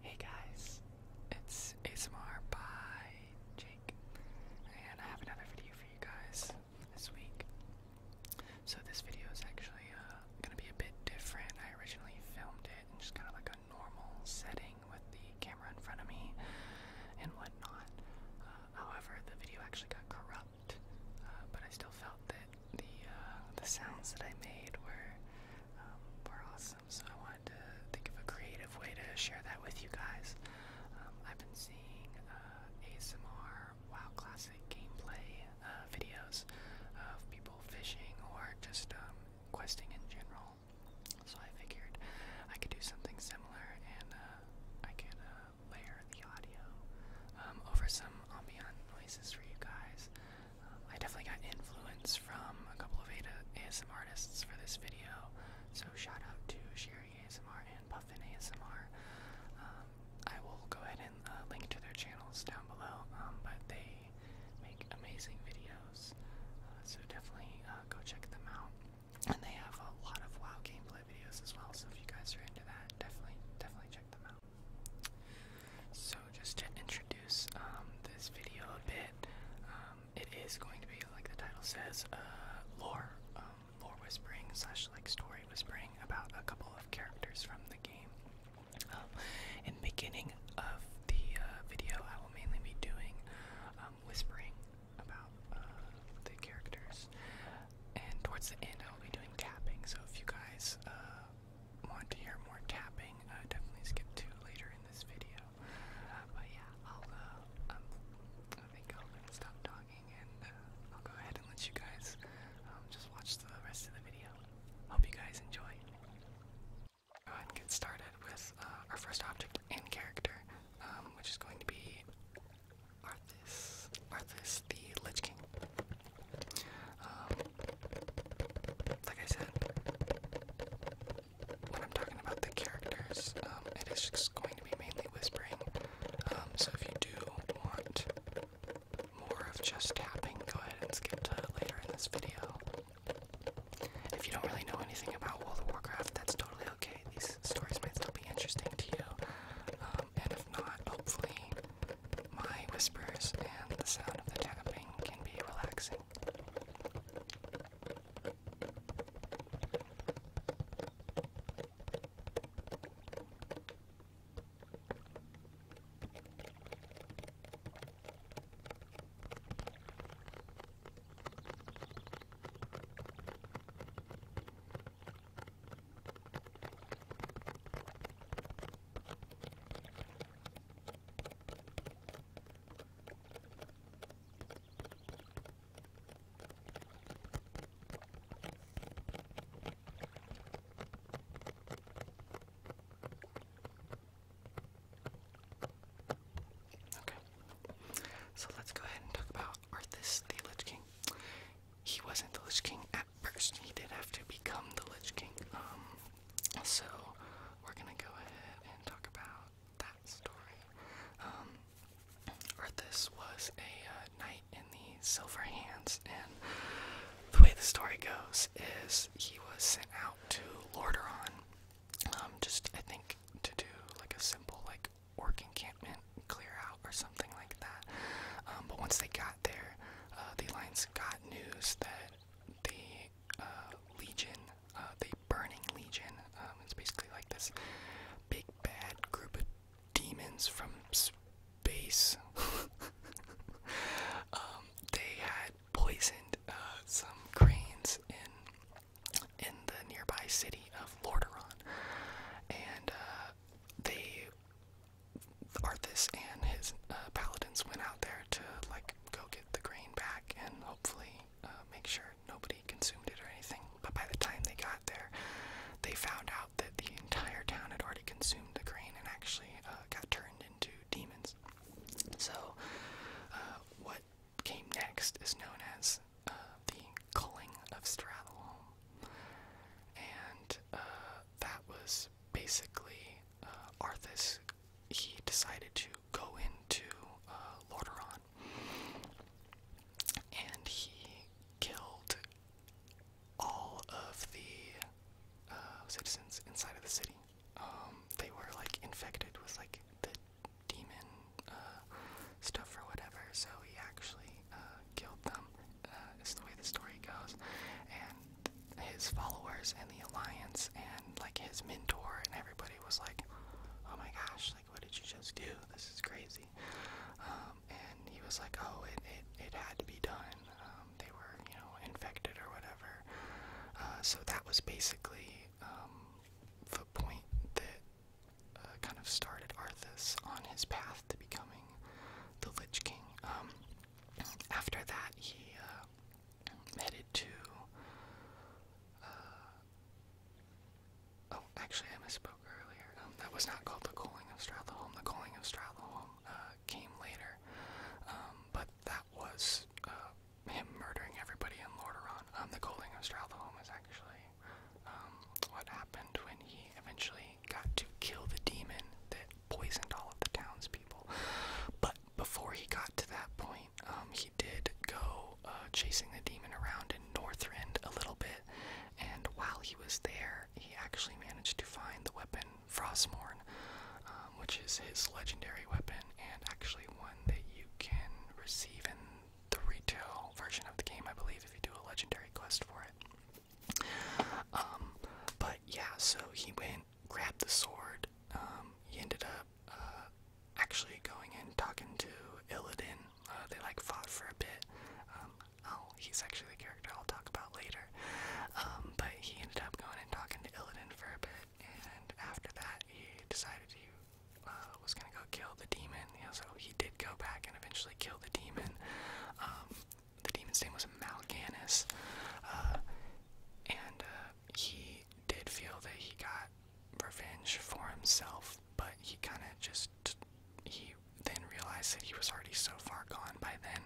Hey guys, it's ASMR by Jake, and I have another video for you guys this week. So this video is actually uh, gonna be a bit different. I originally filmed it in just kind of like a normal setting with the camera in front of me and whatnot. Uh, however, the video actually got corrupt, uh, but I still felt that the uh, the sounds that I made were um, were awesome. So I wanted to think of a creative way to share that with you guys. Um, I've been seeing uh, ASMR WoW Classic gameplay uh, videos of people fishing or just um, questing in general. So I figured I could do something similar, and I can layer the audio over some ambient noises for you guys. I definitely got influence from a couple of ASM artists for this video, so shout out to Sherry ASMR and Puffin ASMR. Um, I will go ahead and uh, link to their channels down below, um, but they make amazing videos, uh, so definitely uh, go check them out. And they have a lot of WoW gameplay videos as well, so if you guys are into that, definitely, definitely check them out. So just to introduce um, this video a bit, um, it is going to be like the title says, uh, lore, um, lore whispering slash like story whispering about a couple of characters from the game. Um, in beginning of the uh, video, I will mainly be doing whispering about uh, the characters, and towards the end, I will be doing capping. So if you guys want to hear more tapping, uh, definitely skip to later in this video. Uh, but yeah, I'll, uh, um, stop talking and I'll go ahead and let you guys um, just watch the rest of the video. Hope you guys enjoy. Go ahead and get started with our first object and character, um, which is going to be Arthas, Arthas the Lich King. Um, like I said, when I'm talking about the characters, um, it is just going to be mainly whispering. Um, so if you do want more of just tapping, go ahead and skip to later in this video. If you don't really know anything about World of Warcraft, that's totally okay. These stories might still be interesting to you and if not, hopefully my whispers and the sound of the tapping can be relaxing. Okay, so let's go ahead and talk about Arthas the Lich King he wasn't the Lich King at first. He did have to become the Lich King. Um, so we're gonna go ahead and talk about that story. Um, Arthas was a uh, knight in the Silver Hands, and the way the story goes is he was sent out to Lordaeron, um, just I think to do like a simple like orc encampment, clear out or something like that. Um, but once they got there, uh, the Alliance got news that the uh, Legion, uh, the Burning Legion, um, it's basically like this big bad group of demons from space. Um, they had poisoned some cranes in in the nearby city of Lordaeron, and they Arthas and his uh, paladins went out there to like go get the grain back and hopefully uh, make sure nobody consumed it or anything. But by the time they got there, they found out that the entire town had already consumed the grain and actually uh, got turned into demons. So, what came next is known as the Culling of Stratholme. And that was basically uh, Arthas. He decided to go into uh, Lordaeron, and he killed all of the uh, citizens inside of the city. Um, they were like infected with like the demon stuff or whatever, so he actually killed them uh, is the way the story goes. And his followers and the alliance and like his mentor and everybody was like, "Oh my gosh! Like, what did you just do? This is crazy." Um, and he was like, "Oh, it it, it had to be done. Um, they were you know infected or whatever." Uh, so that was basically um, the point that uh, kind of started Arthas on his path to becoming the Lich King. Um, after that, he headed uh, to. Uh, oh, actually, I misspoke earlier. Um, that was not called the Calling of Stratholme. The Calling of Stratholme uh, came later, um, but that was him murdering everybody in Lordaeron. the Calling of Stratholme is actually what happened when he eventually got to kill the demon that poisoned all of the townspeople. But before he got to that point, um, he did go uh, chasing the demon around in Northrend a little bit, and while he was there, he actually managed to find the weapon Frostmorn, um, which is his legendary weapon, and actually one that you can receive in the retail version of the game, I believe, if you do a legendary quest for it. Um, but yeah, so he went, grabbed the sword. Um, he ended up uh, actually going and talking to Illidan. Uh, they like fought for a bit. oh, he's actually a character I'll talk about later. Um, but he ended up going and talking to Illidan for a bit, and after that, he decided he uh, was gonna go kill the demon. so he did go back and eventually kill the demon the demon's name was Malganus, uh, and uh, he did feel that he got revenge for himself, but he kind of just he then realized that he was already so far gone by then.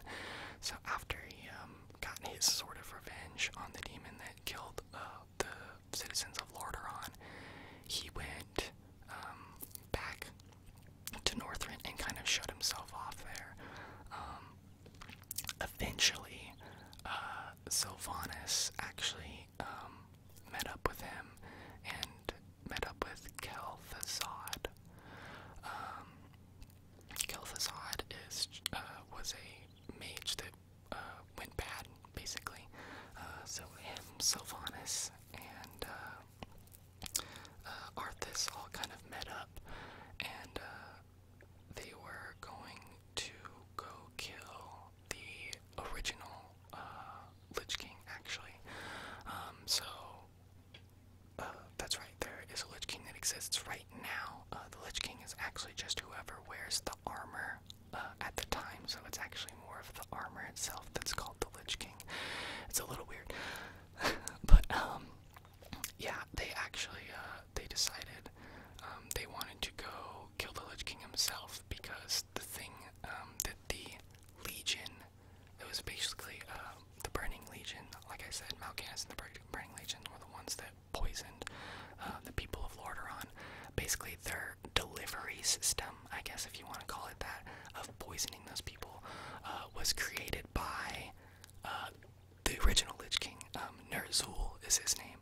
So after he um, got his sort of revenge on the demon that killed uh, the citizens of Lordaeron, he went um, back to Northrend and kind of showed himself off there. Um, eventually, uh, Sylvanas actually um, met up with him and met up with Kel'Thuzad. Um, Kel'Thuzad is uh, was a mage that uh, went bad, basically. Uh, so him, Sylvanas, and uh, Arthas all kind of met up, and uh, they were going to go kill the original uh, Lich King, actually. Um, so that's right. There is a Lich King that exists right now. the Lich King is actually just whoever wears the armor at the time, so it's actually more of the armor itself that's called the Lich King. It's a little weird. but um yeah, they actually uh they decided um they wanted to go kill the Lich King himself because the thing um that the Legion it was basically uh, the Burning Legion, like I said, Mal'Ganis and the Burning Legion were the ones that poisoned uh, the people of Lordaeron. Basically, their delivery system um, I guess if you want to call it that, of poisoning those people uh, was created by uh, the original Lich King. Um, Nerzul is his name,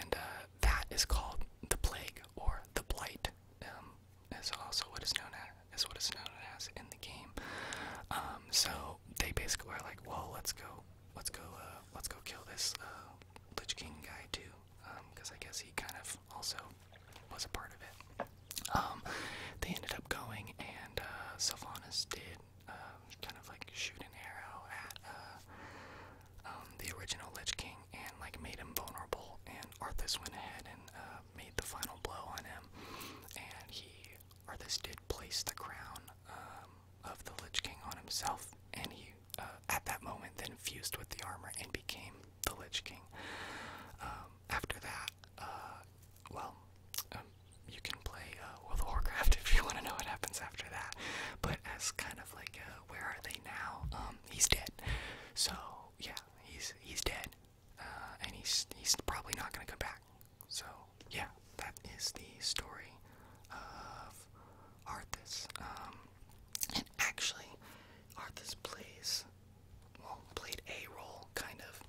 and uh, that is called the plague or the blight. Um, is also what is known as is what is known as in the game. Um, so they basically are like, well, let's go, let's go, let's go kill this Lich King guy too because um, I guess he kind of also was a part of it. Um, they ended up going, and uh, Sylvanas did um, kind of like shoot an arrow at uh, the original Lich King and like made him vulnerable. And Arthas went ahead and uh, made the final blow on him, and he Arthas did place the crown of the Lich King on himself, and he uh, at that moment then fused with the armor and became the Lich King. Um, after that, uh, well, um, you can play uh, World of Warcraft if you want to know what happens after that. But as kind of like, uh, where are they now? Um, he's dead. So yeah, he's he's dead, and he's he's probably not gonna come back. So yeah, that is the story of Arthas. and actually, Arthas plays well, played a role, kind of,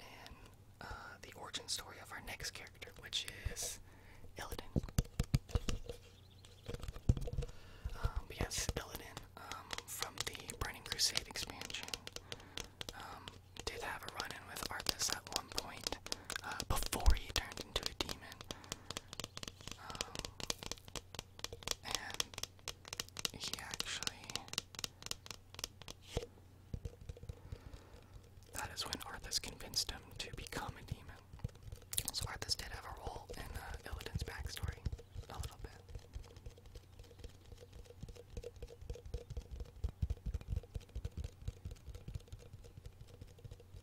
in uh, the origin story of our next character, which is Illidan. Um, yes, Illidan, um, from the Burning Crusade expansion, um, did have a run-in with Arthas at one point, uh, before he turned into a demon he actually. That is when Arthas convinced him to become a demon. So Arthas did have a role in uh, Illidan's backstory, a little bit.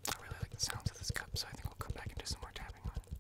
I really like the sounds of this cup, so I think we'll come back and do some more tapping on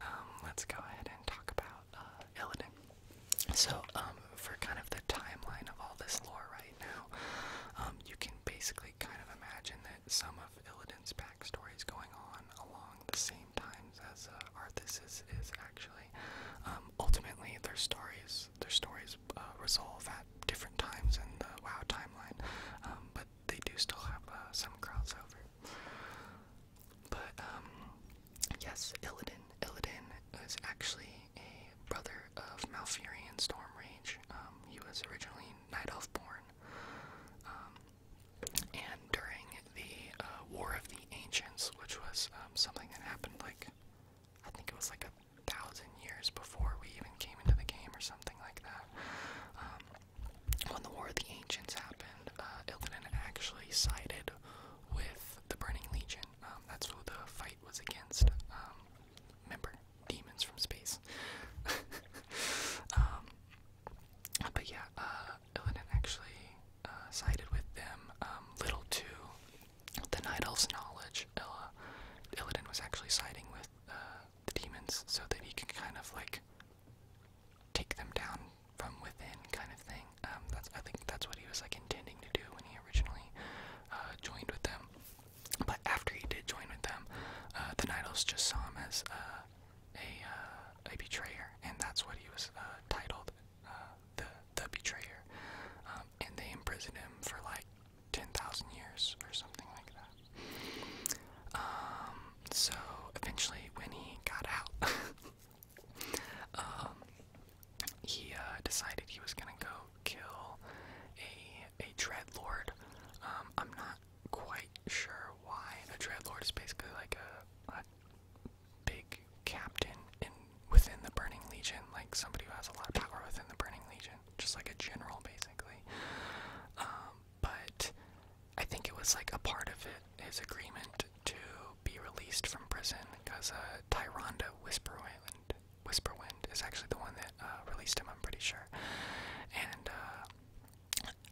Um, let's go ahead and talk about uh, Illidan. So, um, for kind of the timeline of all this lore right now, um, you can basically kind of imagine some of Illidan's backstories going on along the same times as uh, Arthas's is actually. Um, ultimately, their stories their stories uh, resolve at different times in the WoW timeline, um, but they do still have uh, some crossover. But um, yes, Illidan Illidan is actually a brother of Malfurion Stormrage. Um, he was originally Night Elf born. And during the uh, War of the Ancients, which was um, something that happened like, I think it was like a thousand years before we even came into the game or something like that. Um, when the War of the Ancients happened, uh, Illidan actually sided with the Burning Legion. Um, that's who the fight was against. remember, demons from space. But yeah, Illidan uh, actually uh, sided with them. Um, little to the Night Elf's knowledge, Ella, Illidan was actually siding with uh, the demons so that he can kind of like take them down from within, kind of thing. Um, that's I think that's what he was like intending to do when he originally joined with them. But after he did join with them, the Night Elves just saw him as uh, a uh, a betrayer, and that's what he was uh, titled, uh, the the betrayer. Um, and they imprisoned him for like ten thousand years or something like that. Um, so eventually, when he got out, um, he decided he was gonna go kill a a dreadlord. Um, I'm not quite quite sure why a Dreadlord is basically like a, big captain in within the Burning Legion, like somebody who has a lot of power within the Burning Legion, just like a general basically. Um, but I think it was like a part of it, his agreement to be released from prison, because uh, Tyrande Tyronda Whisperwind, is actually the one that uh, released him, I'm pretty sure. And uh,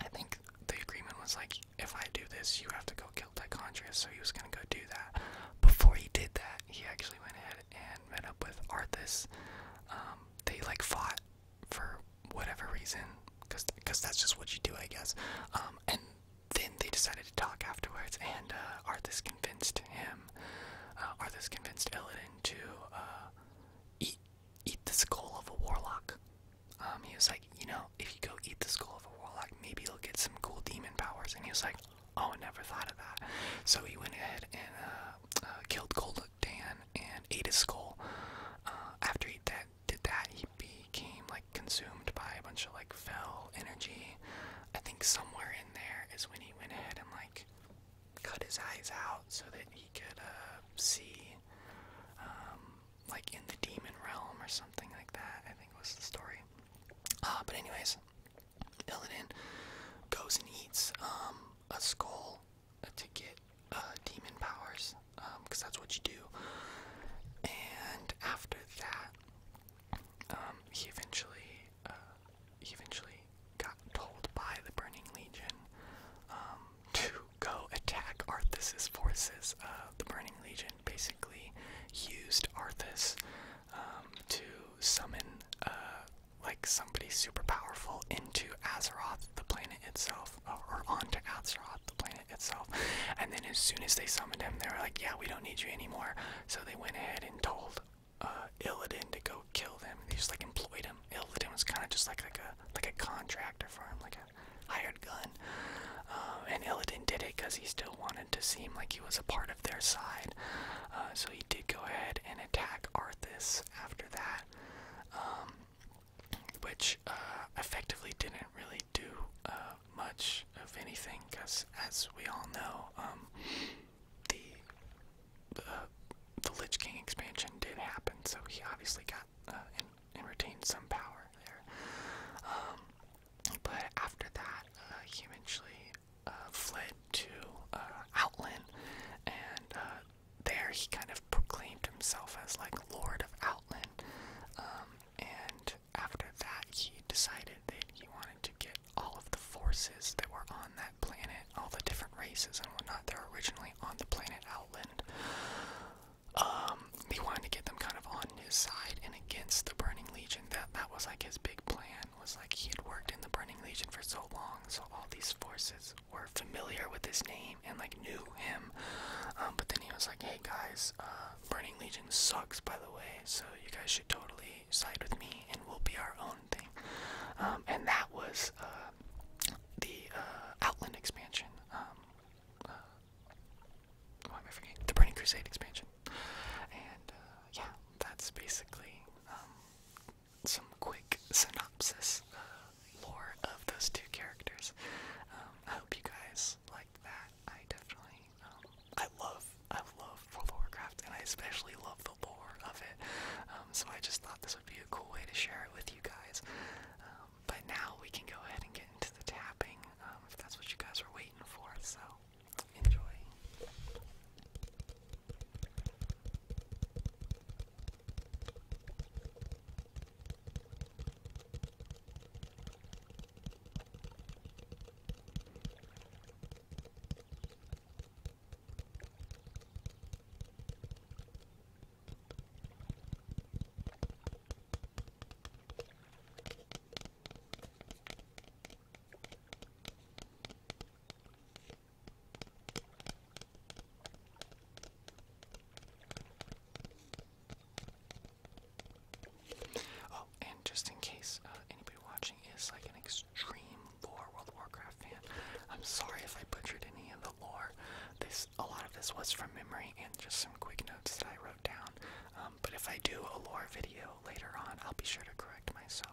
I think the agreement was like, if I do this, you have to go kill Tichondria, so he was gonna go do that. Before he did that, he actually went ahead and met up with Arthas. Um, they like fought for whatever reason, cause, cause that's just what you do, I guess. Um, and then they decided to talk afterwards, and uh, Arthas convinced him, uh, Arthas convinced Illidan to uh, eat eat the skull of a warlock. Um, he was like, you know, if you go eat the skull of a warlock, maybe you'll get some cool demon powers. And he was like, oh, I never thought of that. So he went ahead and uh, uh, killed Cold Dan and ate his skull. Uh, after he did that, he became like consumed by a bunch of like fell energy. I think somewhere in there is when he went ahead and like cut his eyes out so that he could uh, see, um, like in the demon realm or something like that. I think was the story. Uh, but anyways, Illidan goes and eats um, a skull to get uh, demon powers, because um, that's what you do. And after that, he eventually, uh, eventually got told by the Burning Legion um, to go attack Arthas's forces. Uh, the Burning Legion basically used Arthas um, to summon uh, like somebody super powerful into Azeroth, the planet itself, or, or onto Azeroth, the planet itself. And then as soon as they summoned him, they were like, "Yeah, we don't need you anymore." So they went ahead and told uh, Illidan to go kill them. They just like employed him Illidan was kind of just like like a like a contractor for him, like a hired gun. Um, and Illidan did it because he still wanted to seem like he was a part of their side. Uh, so he did go ahead and attack Arthas after that, um, which uh, effectively didn't really do uh, much of anything because, as we all know, um, the the Lich King expansion did happen, so he obviously got uh, and, retained some power there. Um, but after that, uh, he eventually uh, fled to Outland, and there he kind of proclaimed himself as like Lord of Outland. Um, and after that, he decided that he wanted to get all of the forces that were on that planet all the different races and whatnot that were originally on the planet Outland. Um, he wanted to get them kind of on his side and against the Burning Legion. That that was like his big plan. Was like he had worked in the Burning Legion for so long, so all these forces were familiar with his name and like knew him. Um, but then he was like, "Hey guys, uh, Burning Legion sucks, by the way. So you guys should totally side with me, and we'll be our own thing. Um, and that was uh, the uh, Outland expansion. Um, uh, why am I forgetting? The Burning Crusade expansion. And yeah, that's basically um, some quick synopsis lore of those two characters. I hope you guys like that. I definitely, I love, I love World of Warcraft, and I especially love the of it. Um, so I just thought this would be a cool way to share it with you guys. Um, but now we can go ahead and get into the tapping um, if that's what you guys were waiting for. So enjoy. Oh, and just in case uh, anybody watching is like an ex extreme lore World of Warcraft fan. I'm sorry if I butchered any of the lore. This a lot of this was from memory and just some quick notes that I wrote down. Um, but if I do a lore video later on, I'll be sure to correct myself.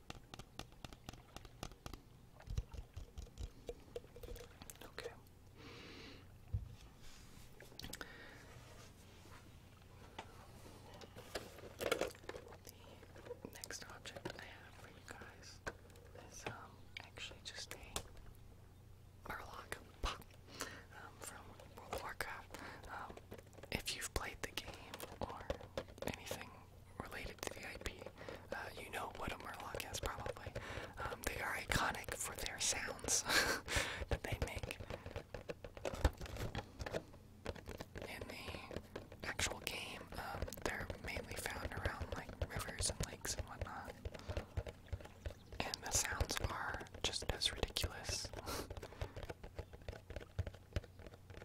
Okay. The next object I have for you guys is um actually just a Murloc pop um, from World of Warcraft. Um, if you've played the game or anything related to the IP, uh, you know what a Murloc is probably. Um, they are iconic for their sounds that they make in the actual game. Um, they're mainly found around like rivers and lakes and whatnot, and the sounds are just as ridiculous.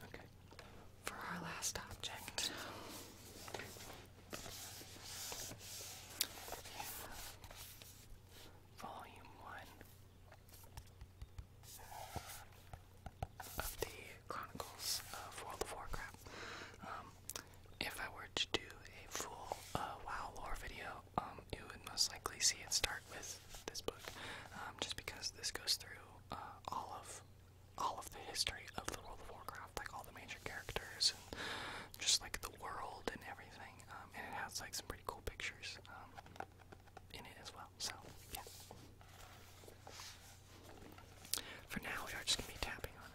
Okay. For our last object, Volume 1 of the Chronicles of World of Warcraft. Um, if I were to do a full uh, WoW lore video, um, you would most likely see it start with this book, um, just because this goes through uh, all of all of the history of the World of Warcraft, like all the major characters and just like the world and everything. Um, and it has like some pretty cool pictures um, in it as well. So yeah. For now, we are just gonna be tapping on it.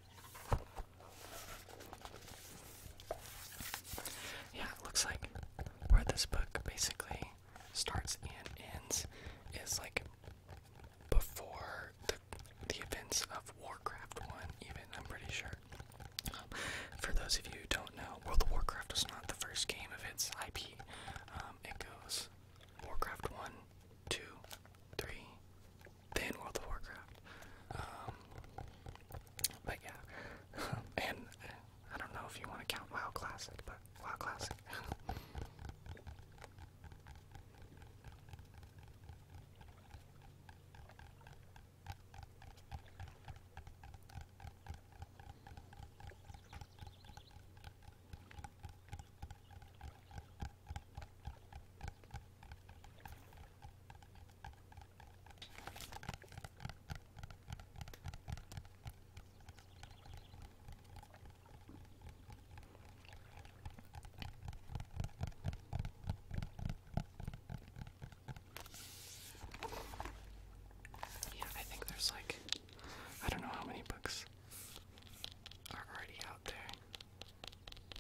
Yeah, it looks like where this book basically starts and ends is like before the, the events of Warcraft 1, even, I'm pretty sure. Um, for those of you who don't know, World of Warcraft was not the first game of its IP. Um, it goes Warcraft 1, 2, 3, than World of Warcraft. Um, but yeah, and uh, I don't know if you want to count WoW Classic, but WoW Classic. Yeah, I think there's like I don't know how many books are already out there. But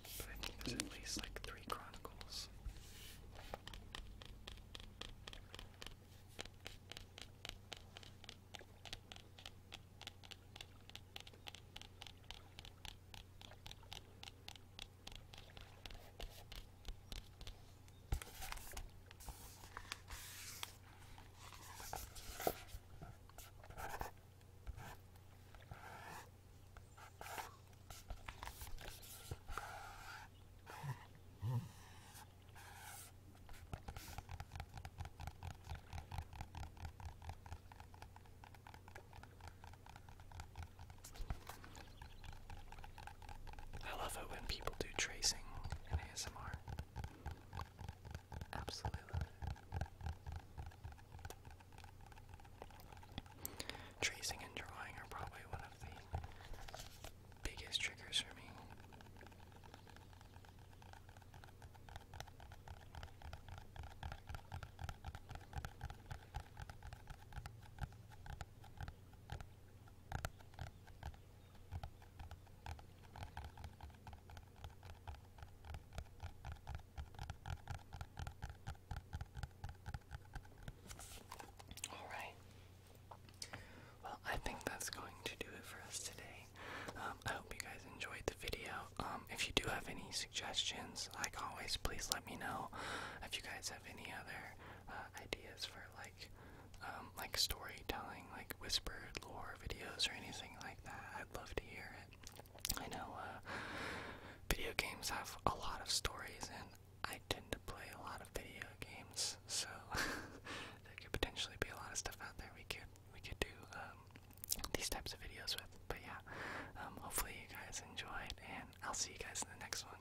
I think there's at least like three Chronicles. I love it when people do tracing in ASMR. Absolutely Tracing and drawing are probably one of the biggest triggers for me. All right. Well, I think that's going to do it for us today. Um, I hope you guys enjoyed the video. Um, if you do have any suggestions, like always, please let me know. If you guys have any other uh, ideas for like, um, like storytelling like whispered lore videos or anything like that, I'd love to hear it. I know uh, video games have a lot of stories, and I tend to play a lot of video games, so there could potentially be a lot of stuff out there we could we could do um, these types of videos with. But yeah, um, hopefully you guys enjoyed, and I'll see you guys in the next one.